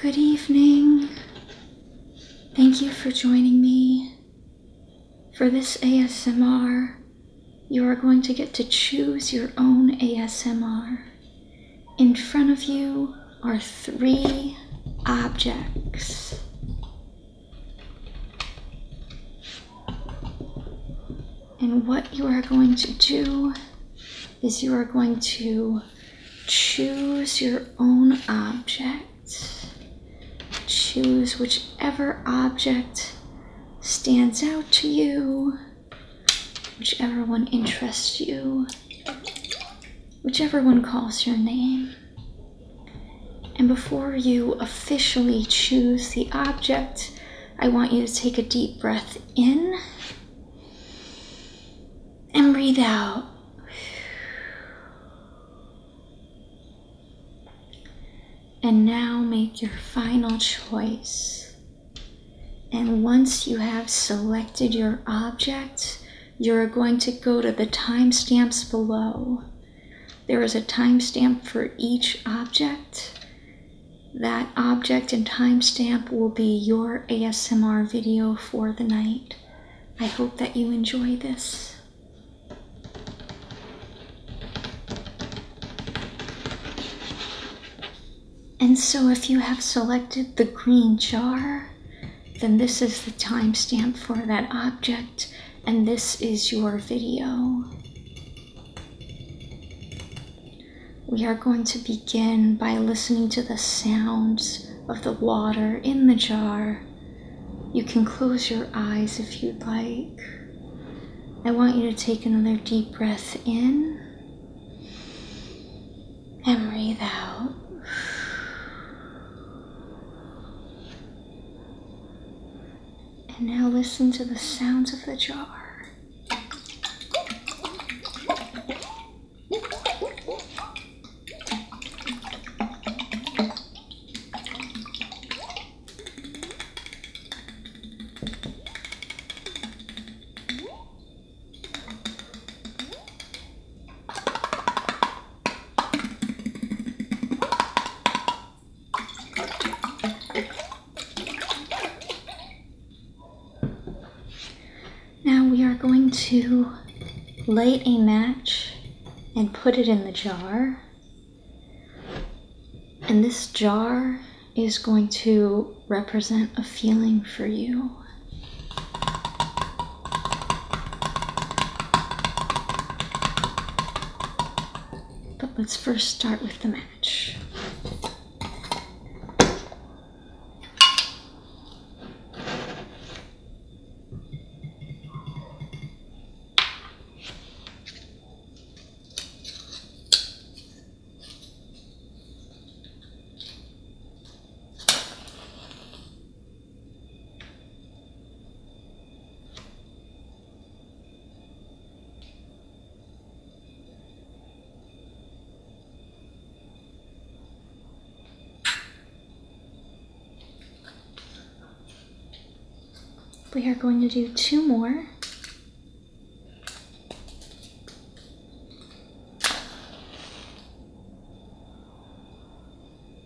Good evening. Thank you for joining me. For this ASMR, you are going to get to choose your own ASMR. In front of you are three objects. And what you are going to do is you are going to choose your own object. Choose whichever object stands out to you, whichever one interests you whichever one calls your name. And before you officially choose the object, I want you to take a deep breath in and breathe out. And now make your final choice. And once you have selected your object, you're going to go to the timestamps below. There is a timestamp for each object. That object and timestamp will be your ASMR video for the night. I hope that you enjoy this. And so if you have selected the green jar, then this is the timestamp for that object, and this is your video. We are going to begin by listening to the sounds of the water in the jar. You can close your eyes if you'd like. I want you to take another deep breath in and breathe out. And now listen to the sounds of the jar. Now we are going to light a match and put it in the jar. And this jar is going to represent a feeling for you. But let's first start with the match. We are going to do two more.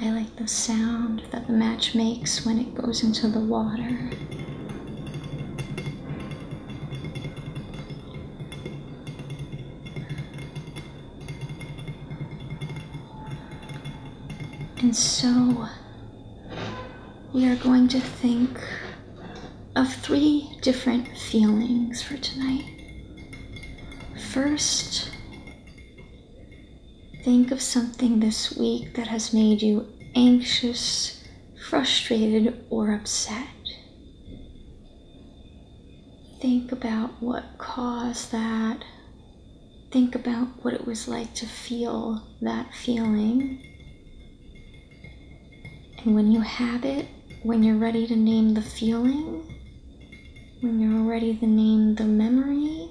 I like the sound that the match makes when it goes into the water. And so we are going to think of three different feelings for tonight. First, Think of something this week that has made you anxious, frustrated, or upset. Think about what caused that. Think about what it was like to feel that feeling. And when you have it, when you're ready to name the feeling, when you're ready to name the memory,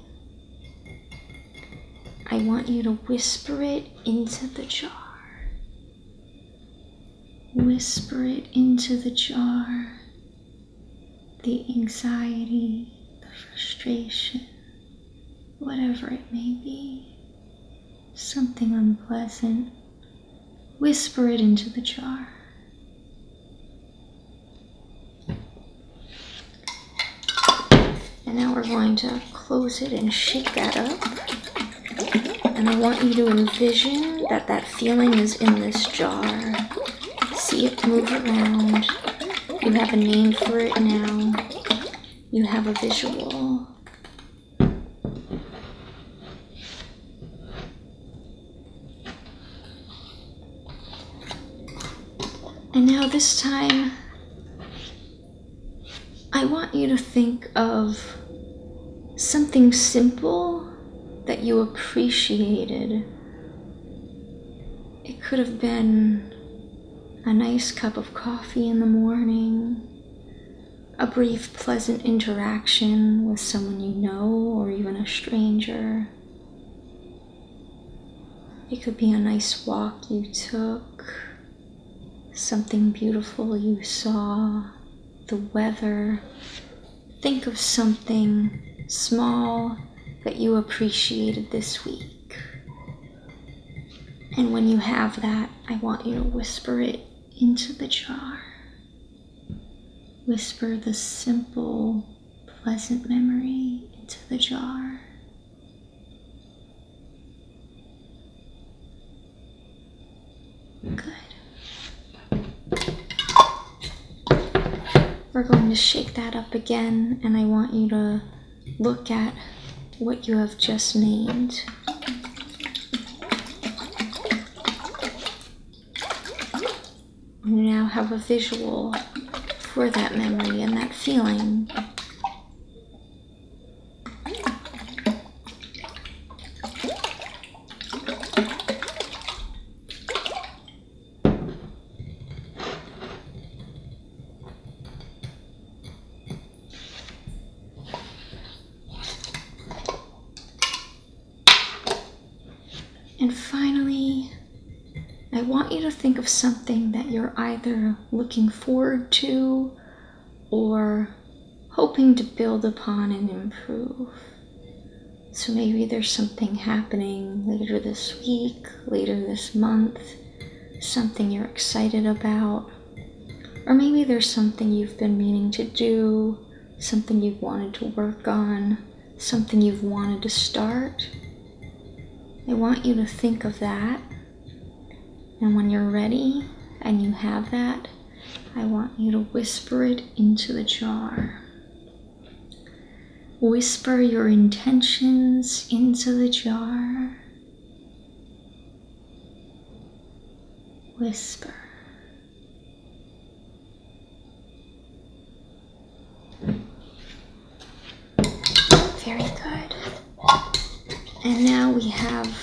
I want you to whisper it into the jar. Whisper it into the jar. The anxiety, the frustration, whatever it may be, something unpleasant. Whisper it into the jar. And now we're going to close it and shake that up. And I want you to envision that that feeling is in this jar. See it move around. You have a name for it now. You have a visual. And now this time, I want you to think of something simple that you appreciated. It could have been a nice cup of coffee in the morning, a brief pleasant interaction with someone you know or even a stranger, it could be a nice walk you took, something beautiful you saw, the weather. Think of something small that you appreciated this week. And when you have that, I want you to whisper it into the jar. Whisper the simple pleasant memory into the jar. Hmm. Good. We're going to shake that up again, and I want you to look at what you have just named. You now have a visual for that memory and that feeling. And finally, I want you to think of something that you're either looking forward to or hoping to build upon and improve. So maybe there's something happening later this week, later this month, something you're excited about, or maybe there's something you've been meaning to do, something you've wanted to work on, something you've wanted to start. I want you to think of that. And when you're ready and you have that, I want you to whisper it into the jar. Whisper your intentions into the jar. Whisper. Very good. And now we have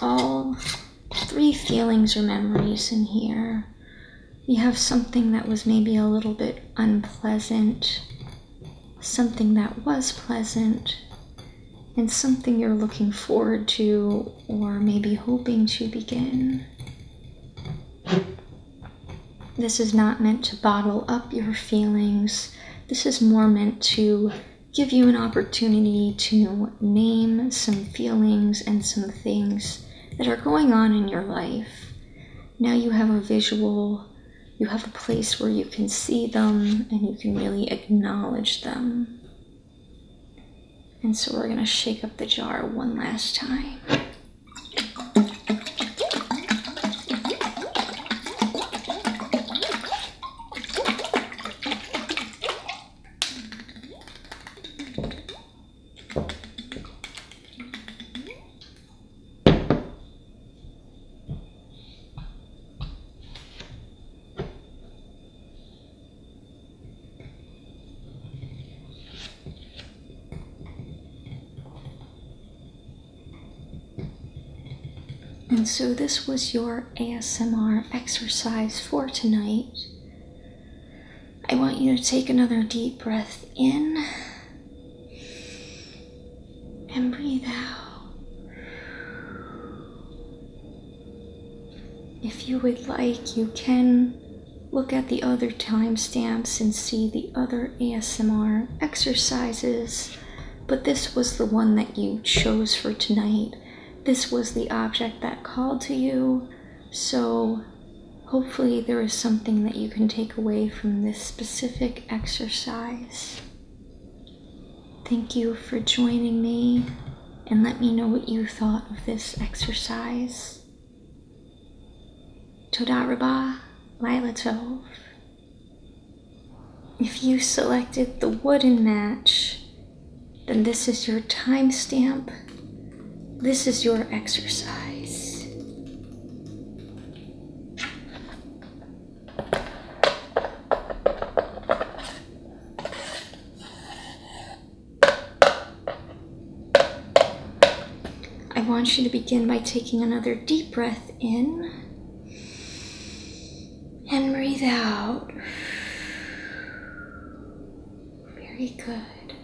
all three feelings or memories in here. We have something that was maybe a little bit unpleasant, something that was pleasant, and something you're looking forward to or maybe hoping to begin. This is not meant to bottle up your feelings. This is more meant to give you an opportunity to name some feelings and some things that are going on in your life. Now you have a visual, you have a place where you can see them and you can really acknowledge them. And so we're gonna shake up the jar one last time. And so this was your ASMR exercise for tonight. I want you to take another deep breath in and breathe out. If you would like, you can Look at the other timestamps and see the other ASMR exercises, but this was the one that you chose for tonight. This was the object that called to you, so hopefully, there is something that you can take away from this specific exercise. Thank you for joining me and let me know what you thought of this exercise. Toda Rabah, Lila If you selected the wooden match, then this is your timestamp. This is your exercise. I want you to begin by taking another deep breath in and breathe out. Very good.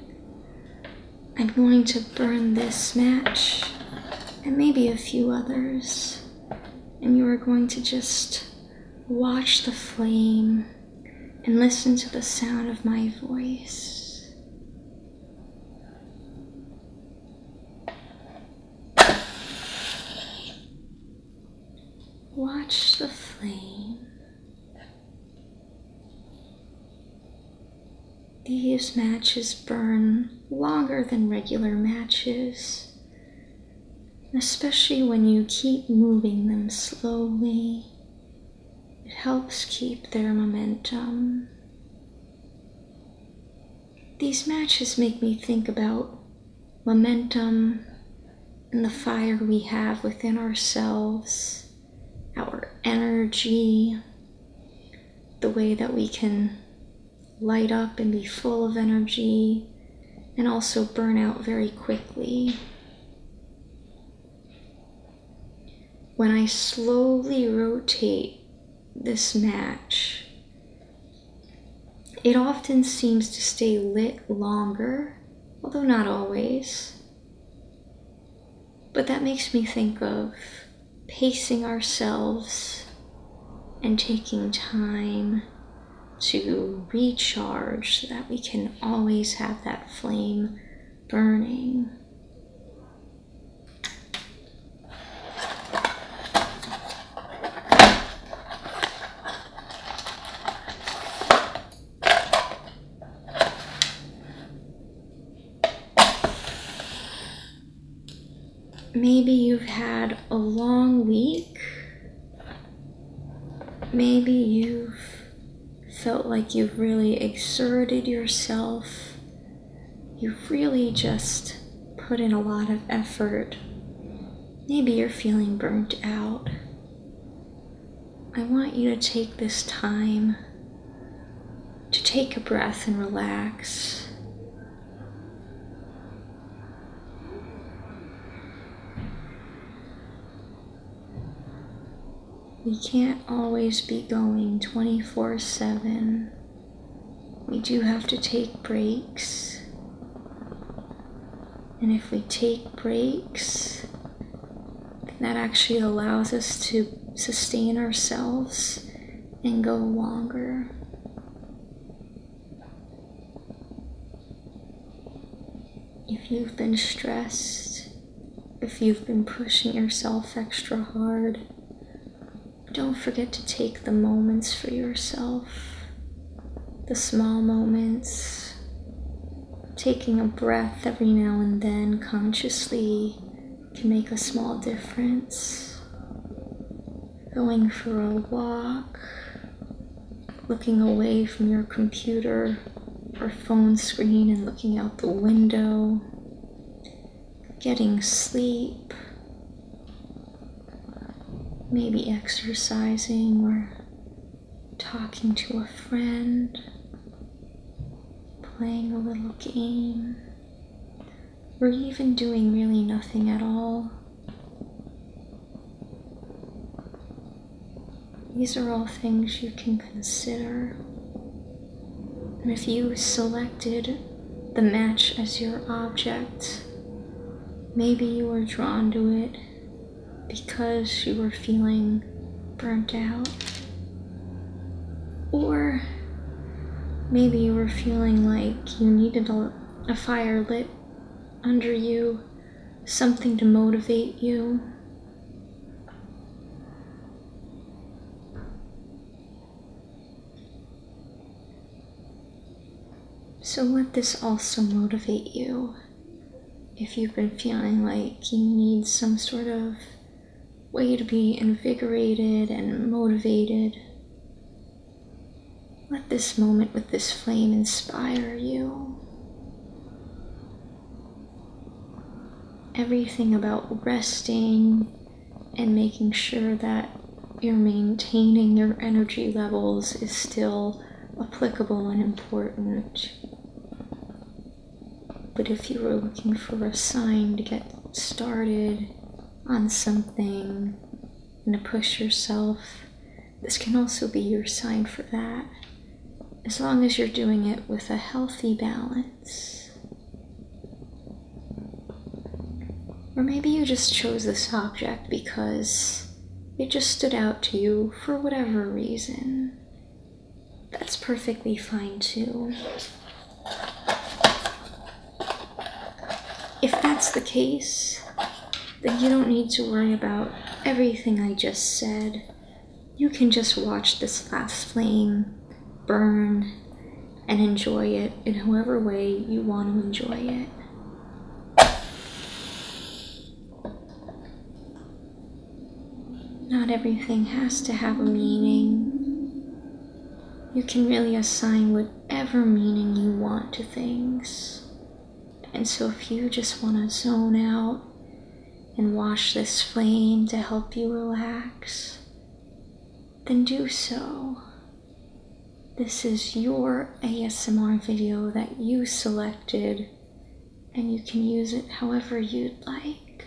I'm going to burn this match and maybe a few others. And you are going to just watch the flame and listen to the sound of my voice. Watch the flame. These matches burn longer than regular matches, especially when you keep moving them slowly it helps keep their momentum. These matches make me think about momentum and the fire we have within ourselves, our energy, the way that we can light up and be full of energy and also burn out very quickly. When I slowly rotate this match, it often seems to stay lit longer, although not always. But that makes me think of pacing ourselves and taking time to recharge so that we can always have that flame burning. Maybe you've had a long week Maybe you've felt like you've really exerted yourself. You've really just put in a lot of effort. Maybe you're feeling burnt out. I want you to take this time to take a breath and relax. We can't always be going 24 7. We do have to take breaks. And if we take breaks, that actually allows us to sustain ourselves and go longer if you've been stressed, if you've been pushing yourself extra hard, don't forget to take the moments for yourself, the small moments, taking a breath every now and then consciously can make a small difference. Going for a walk, looking away from your computer or phone screen and looking out the window, getting sleep, maybe exercising or talking to a friend, playing a little game, or even doing really nothing at all. These are all things you can consider. And if you selected the match as your object, maybe you were drawn to it because you were feeling burnt out. Or maybe you were feeling like you needed a, fire lit under you something to motivate you. So let this also motivate you if you've been feeling like you need some sort of way to be invigorated and motivated. Let this moment with this flame inspire you. Everything about resting and making sure that you're maintaining your energy levels is still applicable and important. But if you were looking for a sign to get started on something and to push yourself this can also be your sign for that, as long as you're doing it with a healthy balance. Or maybe you just chose this object because it just stood out to you for whatever reason. That's perfectly fine too. If that's the case, that you don't need to worry about everything I just said. You can just watch this last flame burn and enjoy it in however way you want to enjoy it. Not everything has to have a meaning. You can really assign whatever meaning you want to things. And so, if you just want to zone out and watch this flame to help you relax, then do so. This is your ASMR video that you selected, and you can use it however you'd like.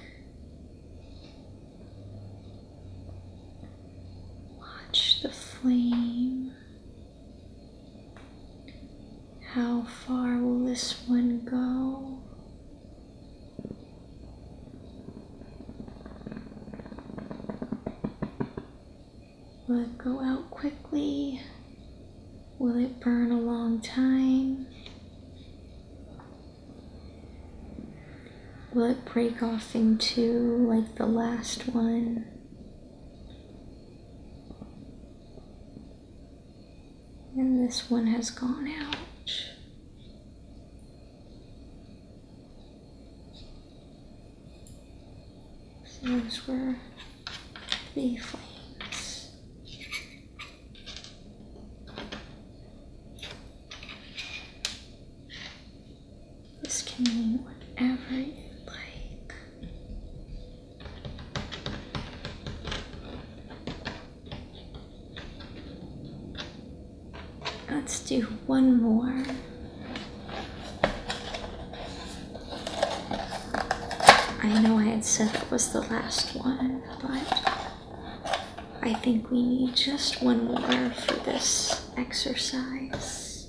Watch the flame how far will this one go? Will it go out quickly? Will it burn a long time? Will it break off into like the last one? And this one has gone out. those were the flames. This can mean whatever you like. Let's do one more. I know I had said it was the last one, but I think we need just one more for this exercise.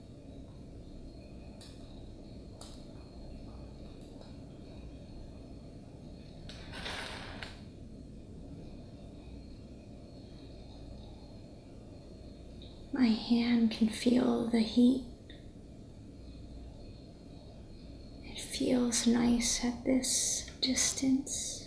My hand can feel the heat. It feels nice at this distance.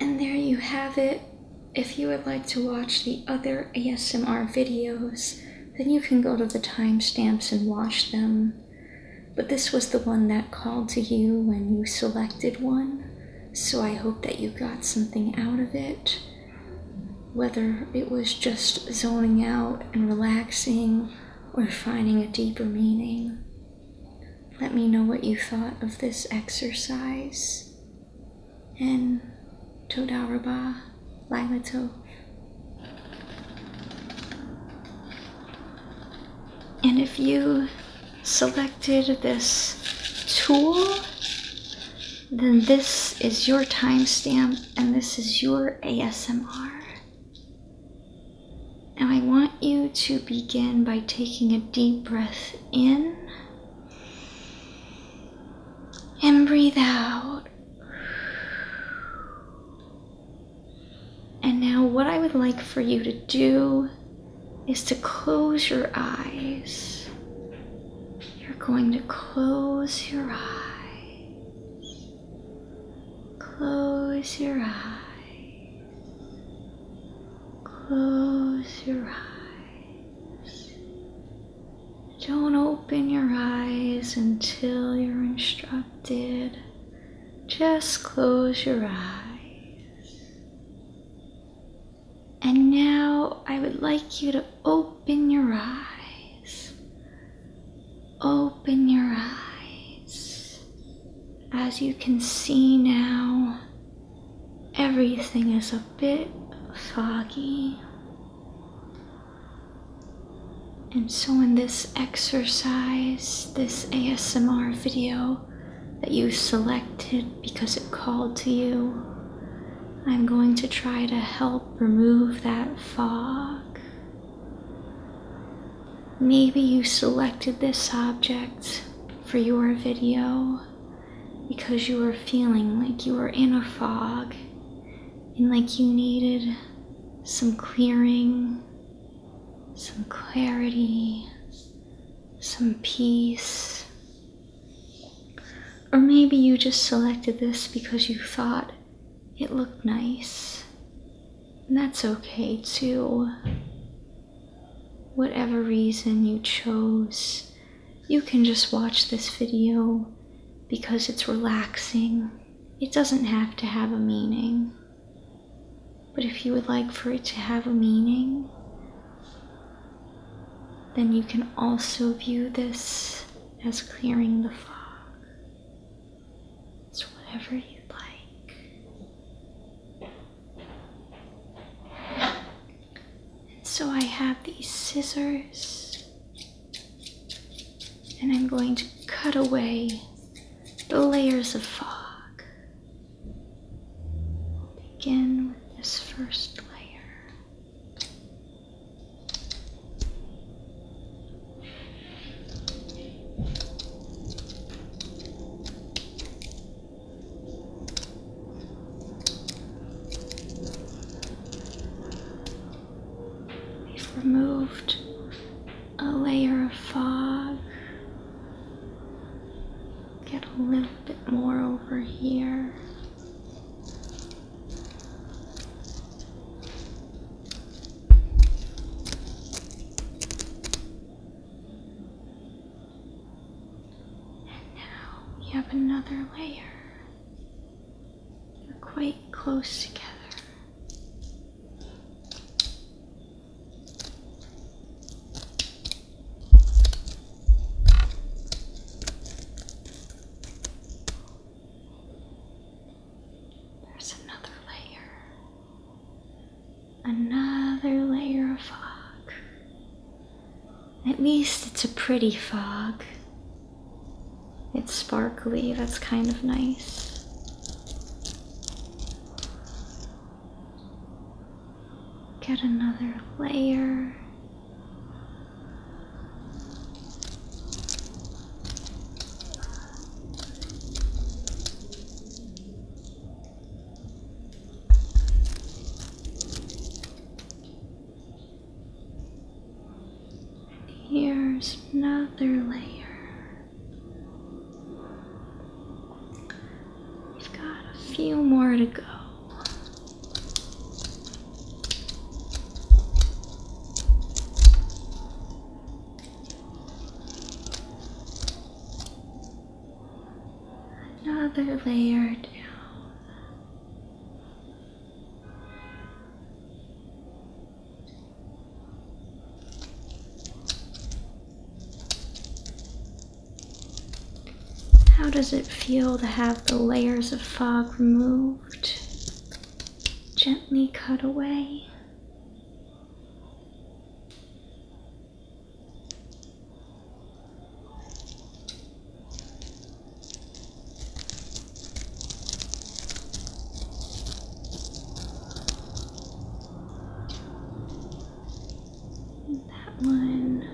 And there you have it. If you would like to watch the other ASMR videos, then you can go to the timestamps and watch them. But this was the one that called to you when you selected one, so I hope that you got something out of it. Whether it was just zoning out and relaxing or finding a deeper meaning. Let me know what you thought of this exercise and to the Araba like the And if you selected this tool, then this is your timestamp and this is your ASMR. Now I want you to begin by taking a deep breath in and breathe out. And now, what I would like for you to do is to close your eyes. You're going to close your eyes. Close your eyes. Close your eyes. Don't open your eyes until you're instructed. Just close your eyes. And now I would like you to open your eyes. Open your eyes. As you can see now, everything is a bit foggy. And so, in this exercise, this ASMR video that you selected because it called to you, I'm going to try to help remove that fog. Maybe you selected this object for your video because you were feeling like you were in a fog and like you needed some clearing, some clarity, some peace. Or maybe you just selected this because you thought it looked nice. And that's okay too. Whatever reason you chose you can just watch this video because it's relaxing. It doesn't have to have a meaning. But if you would like for it to have a meaning, then you can also view this as clearing the fog. It's whatever you like. So I have these scissors and I'm going to cut away the layers of fog. begin with this first layer. We've removed a layer of fog. Get a little bit more over here. And now we have another layer. They're quite close together. There's another layer another layer of fog. At least it's a pretty fog. It's sparkly, that's kind of nice. Get another layer. Here's another layer. We've got a few more to go another layer down. How does it feel to have the layers of fog removed? Gently cut away. That one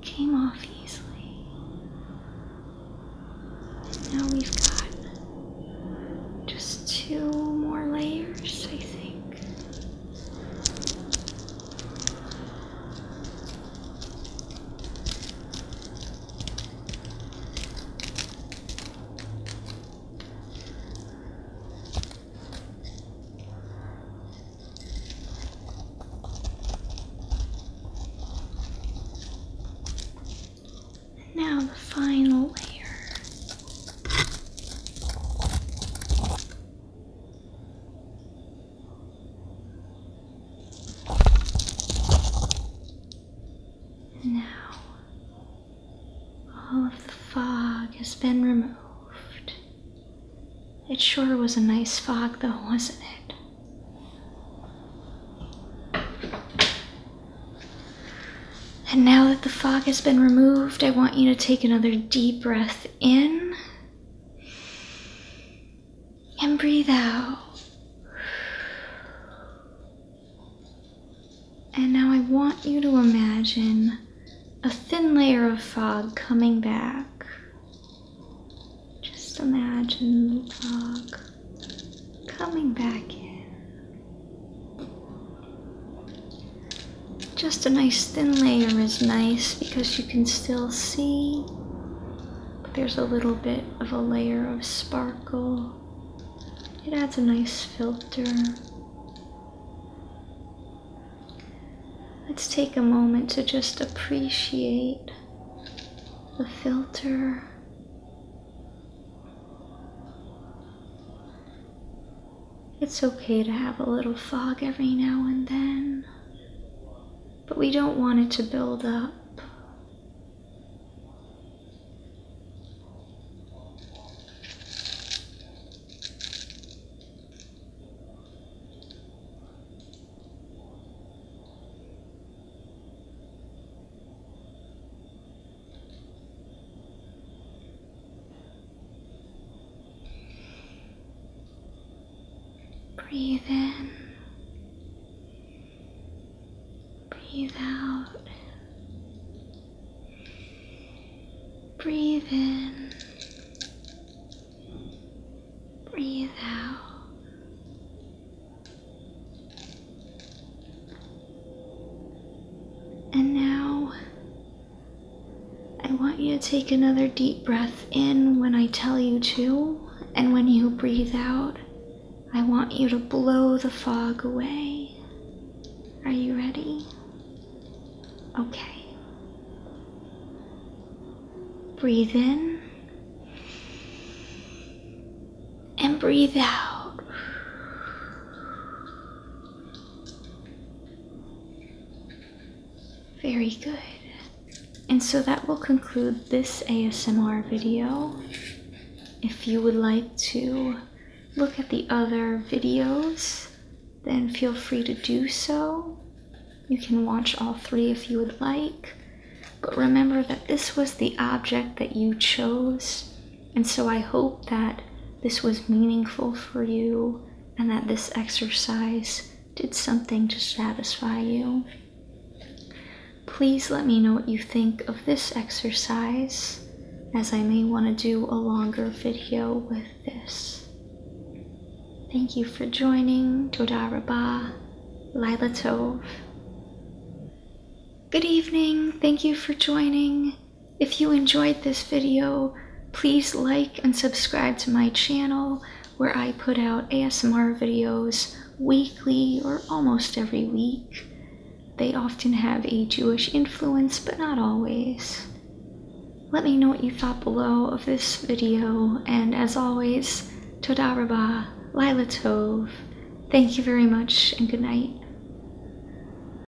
came off easily. now we've got just two more layers, I think. And now the final layer. Now, all of the fog has been removed. It sure was a nice fog, though, wasn't it? And now that the fog has been removed, I want you to take another deep breath in and breathe out. And now I want you to imagine a thin layer of fog coming back. Just imagine the fog coming back in. Just a nice thin layer is nice because you can still see, but there's a little bit of a layer of sparkle. It adds a nice filter. Let's take a moment to just appreciate the filter. It's okay to have a little fog every now and then, but we don't want it to build up. Breathe in, breathe out, breathe in, breathe out. And now I want you to take another deep breath in when I tell you to, and when you breathe out, I want you to blow the fog away. Are you ready? Okay. Breathe in and breathe out. Very good. And so that will conclude this ASMR video. If you would like to look at the other videos, then feel free to do so. You can watch all three if you would like, but remember that this was the object that you chose and so I hope that this was meaningful for you and that this exercise did something to satisfy you. Please let me know what you think of this exercise, as I may want to do a longer video with this. Thank you for joining. Toda Rabah. Laila Good evening. Thank you for joining. If you enjoyed this video, please like and subscribe to my channel where I put out ASMR videos weekly or almost every week. They often have a Jewish influence, but not always. Let me know what you thought below of this video, and as always, Toda Rabah, Lila Tov. Thank you very much, and good night.